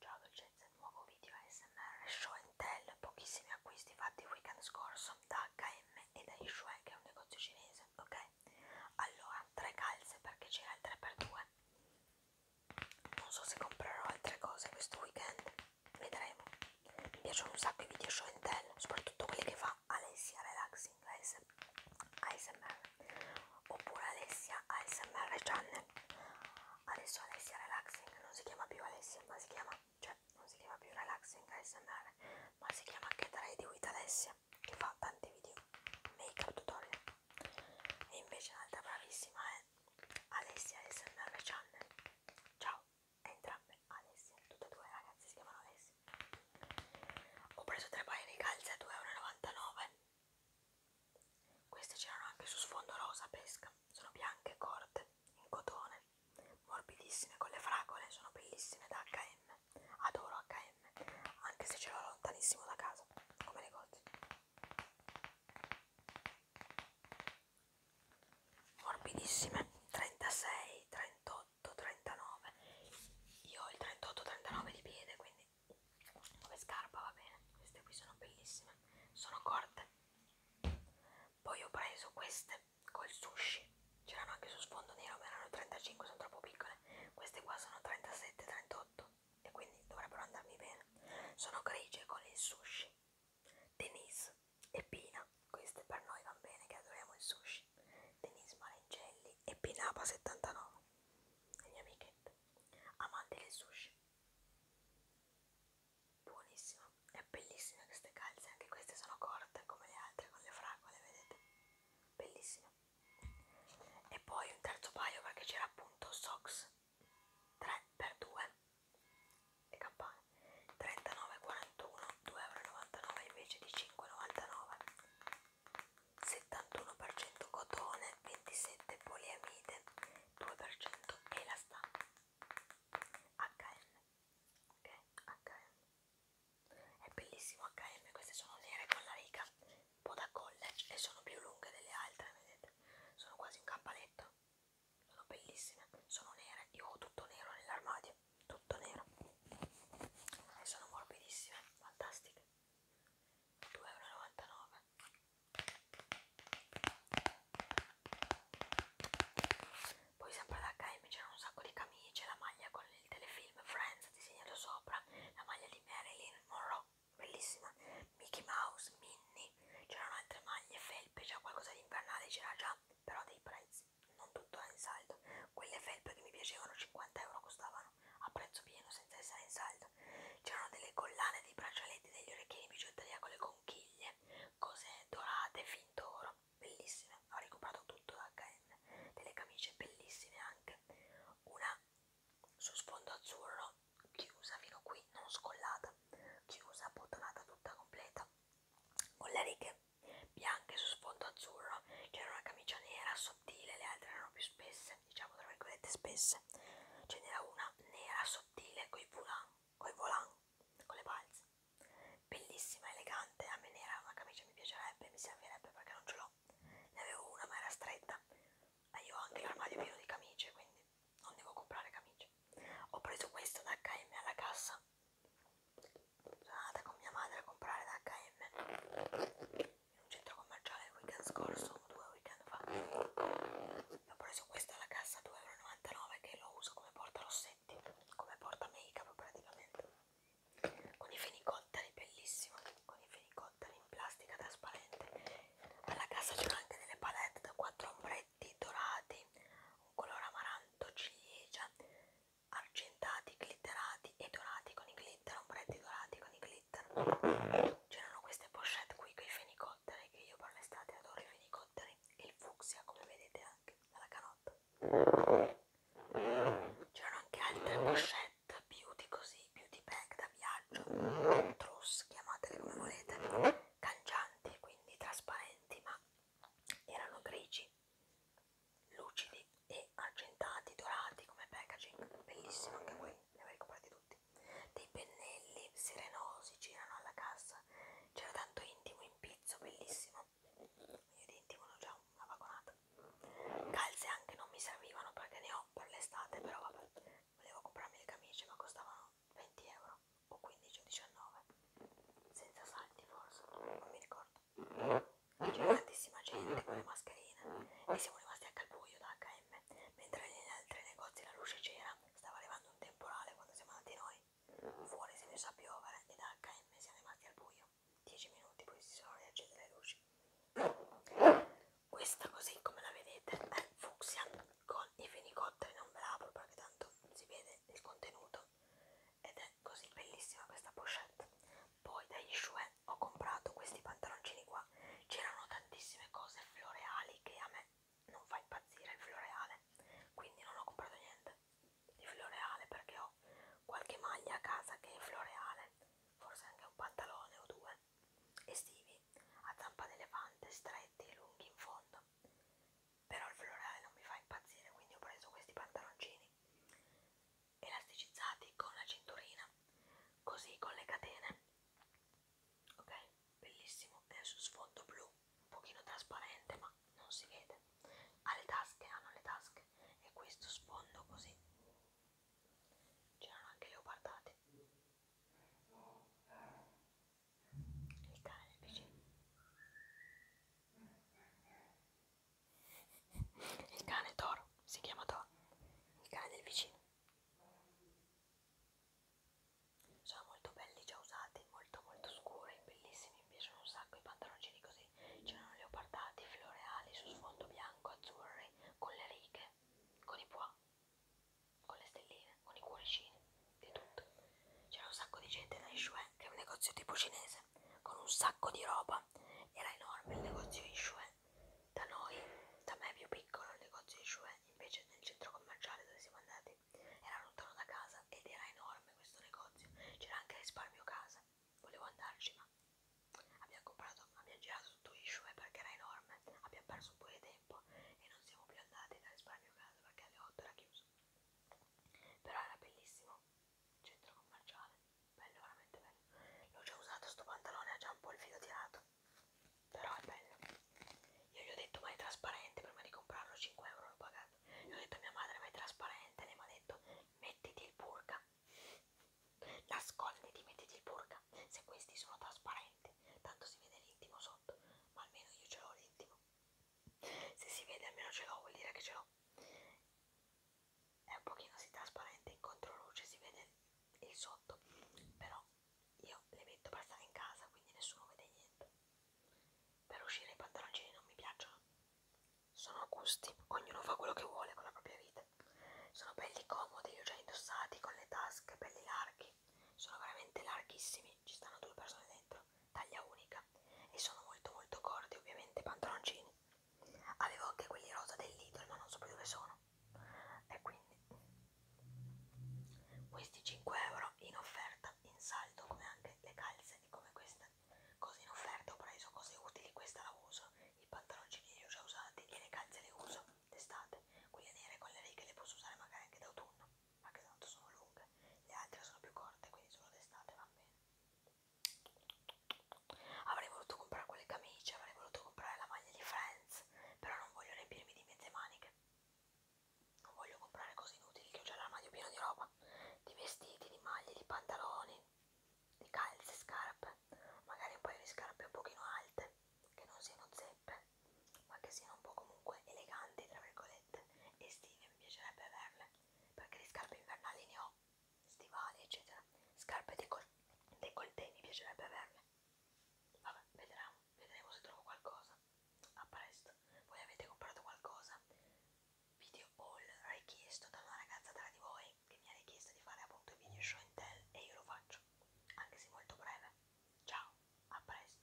Ciao dolcezza, nuovo video ASMR Show Tell, pochissimi acquisti fatti il weekend scorso da H&M e da Yishue che è un negozio cinese, ok? Allora, tre calze perché c'era il 3x2 Non so se comprerò altre cose questo weekend, vedremo Mi piacciono un sacco i video Show Tell, soprattutto quelli che fa Alessia Relaxing ASMR Oppure Alessia ASMR Channel adesso Alessia Relaxing non si chiama più Alessia, ma si chiama, cioè non si chiama più Relaxing ASMR, ma si chiama anche Trade with Alessia, che fa tanti video make up tutorial. E invece l'altra bravissima è Alessia ASMR Channel. Ciao, entrambe Alessia, tutte e due ragazzi si chiamano Alessia. Ho preso tre paia di calze a 2,99 euro queste c'erano anche su sfondo rosa pesca, sono bianche e corte, in cotone, morbidissime con le fragole, sono bellissime da H&M, adoro H&M, anche se ce l'ho lontanissimo da casa, come negozio. Morbidissime, 36, 38, 39, io ho il 38, 39 di piede, quindi quindi come scarpa va bene queste qui sono bellissime sono corte poi ho preso queste col sushi c'erano anche su sfondo nero ma erano 35 sono troppo piccole queste qua sono 37 38 e quindi dovrebbero andarmi bene sono grigie con il sushi Denise e Pina queste per noi vanno bene che adoriamo il sushi Denise Marengelli e Pinapa 79 le mie amichette amante del sushi buonissimo è bellissima queste calze anche queste sono corte come le altre con le fragole vedete bellissime e poi un terzo paio perché c'era appunto socks 3x2 e campane 39,41 2,99 invece di 5,99 71% cotone, 27% poliamide, 2% elastano. HM. Ok, HM. È bellissimo HM, queste sono nere con la riga, un po' da college e sono più lunghe delle altre, vedete? Sono quasi un cappaletto. Sono bellissime, sono nere, io ho tutto nero nell'armadio, tutto nero. E sono morbidissime, fantastiche. 2,99 poi sempre da H&M c'erano un sacco di camicie la maglia con il telefilm Friends disegnato sopra la maglia di Marilyn Monroe bellissima Mickey Mouse, Minnie c'erano altre maglie, felpe c'era qualcosa di invernale c'era già però dei prezzi non tutto è in saldo quelle felpe che mi piacevano 50 euro costavano a prezzo pieno senza essere in saldo. C'erano delle collane di braccialetti, degli orecchini, bigiotteria con le conchiglie, cose dorate, fin d'oro, bellissime. Ho ricomprato tutto da HM, delle camicie bellissime anche. Una su sfondo azzurro, chiusa fino qui, non scollata, chiusa, bottonata tutta completa, con le righe bianche su sfondo azzurro. C'era una camicia nera sottile, le altre erano più spesse spesse, diciamo tra virgolette spesse, ce n'era una nera sottile coi volant, coi volant, con le balze, bellissima, elegante, a me nera una camicia mi piacerebbe, mi servirebbe perché non ce l'ho, ne avevo una ma era stretta, ma io ho anche l'armadio pieno di camicie, quindi non devo comprare camicie. Ho preso questo da H&M alla cassa, sono andata con mia madre a comprare da H&M in un centro commerciale il weekend scorso, due weekend fa. Ho preso questa alla cassa 2,99 euro che lo uso come porta rossetti, come porta make up praticamente. Con i fenicotteri, bellissimo, con i fenicotteri in plastica trasparente. Alla cassa c'erano anche delle palette da quattro ombretti dorati, un colore amaranto, ciliegia, argentati, glitterati e dorati con i glitter, ombretti dorati con i glitter. C'erano queste pochette qui con i fenicotteri, che io per l'estate adoro i fenicotteri, e il fucsia come vedete anche dalla canotta. C'erano anche altre pochette beauty così, beauty bag da viaggio, truss, chiamatele come volete, cangianti, quindi trasparenti, ma erano grigi lucidi e argentati, dorati come packaging, bellissimo anche qui, li avrei comprati tutti. Dei pennelli serenosi girano alla cassa, c'era tanto intimo in pizzo, bellissimo. Io di intimo ho già una vagonata. Calze anche non mi servivano perché ne ho per l'estate, però vabbè, volevo comprarmi le camicie ma costavano 20 euro o 15 o 19 senza salti forse, non mi ricordo c'era tantissima gente con le mascherine e siamo rimasti anche al buio da H&M mentre negli altri negozi la luce c'era stava arrivando un temporale quando siamo andati noi fuori si è messo a piovere e da H&M siamo rimasti al buio 10 minuti poi si sono riaccese le luci questa così come la vedete è fucsia con i fenicotteri non ve l'apro perché tanto si vede il contenuto ed è così bellissima questa pochette poi dagli Jouet ho comprato questi pantaloncini qua c'erano tantissime cose floreali che a me non fa impazzire il floreale quindi non ho comprato niente di floreale perché ho qualche maglia a casa che è floreale forse anche un pantalone o due estivi a zampa d'elefante stretti e lunghi in fondo però il floreale non mi fa impazzire quindi ho preso questi pantaloncini elasticizzati con la cinturina, così con le catene. Ok, bellissimo, è su sfondo blu, un pochino trasparente, ma non si vede. Ha le tasche, hanno le tasche e questo sfondo così. C'erano anche leopardati. Il cane del vicino. Il cane Toro, si chiama Toro, il cane del vicino. Sono molto belli già usati, molto molto scuri, bellissimi, mi piacciono un sacco i pantaloncini così. C'erano leopardati, floreali, su sfondo bianco, azzurri, con le righe, con i pois, con le stelline, con i cuoricini, di tutto. C'era un sacco di gente da Yishue, che è un negozio tipo cinese mese con un sacco di roba. Era enorme il negozio Ishue. Da noi, da me più piccolo, il negozio Ishue, invece nel centro commerciale dove siamo andati, era lontano da casa ed era enorme questo negozio. C'era anche risparmio casa. Volevo andarci, ma abbiamo comprato, abbiamo girato tutto Ishue perché era enorme. Abbiamo perso un po' di tempo e non siamo più andati da risparmio casa perché alle 8 era chiuso. Però era bellissimo centro commerciale bello veramente bello l'ho già usato sto pantalone ha già un po' il filo tirato però è bello io gli ho detto ma è trasparente prima di comprarlo 5 euro l'ho pagato gli ho detto a mia madre ma è trasparente lei mi ha detto mettiti il burka nasconditi mettiti il burka se questi sono trasparenti tanto si vede l'intimo sotto ma almeno io ce l'ho l'intimo se si vede almeno ce l'ho vuol dire che ce l'ho è un pochino si trasparente in controluce si vede il sotto però io le metto per stare in casa quindi nessuno vede niente per uscire i pantaloncini non mi piacciono sono gusti ognuno fa quello che vuole con la propria vita sono belli comodi li ho già indossati con le tasche belli larghi sono veramente larghissimi ci stanno due persone dentro taglia unica e sono molto molto corti ovviamente pantaloncini avevo anche quelli rosa del Lidl ma non so più dove sono e quindi questi 5 euro in offerta in saldo come anche le calze e come queste cose in offerta ho preso cose utili questa la uso i pantaloncini li ho già usati e le calze le uso d'estate quelle nere con le righe le posso usare magari anche d'autunno anche tanto sono lunghe, le altre sono più corte, quindi solo d'estate va bene. Avrei voluto comprare quelle camicie, avrei voluto comprare la maglia di Friends, però non voglio riempirmi di mezze maniche. Non voglio comprare cose inutili, che ho già l'armadio pieno di roba, di vestiti, di maglie, di pantaloni, di calze, scarpe, magari un paio di scarpe un pochino alte, che non siano zeppe, ma che siano un po' comunque eleganti, tra virgolette, estive, mi piacerebbe averle, perché di scarpe invernali ne ho, stivali eccetera, scarpe décolleté mi piacerebbe averne, vabbè vedremo, vedremo se trovo qualcosa, a presto, voi avete comprato qualcosa, video haul richiesto da una ragazza tra di voi che mi ha richiesto di fare appunto video show in tell e io lo faccio, anche se molto breve, ciao, a presto.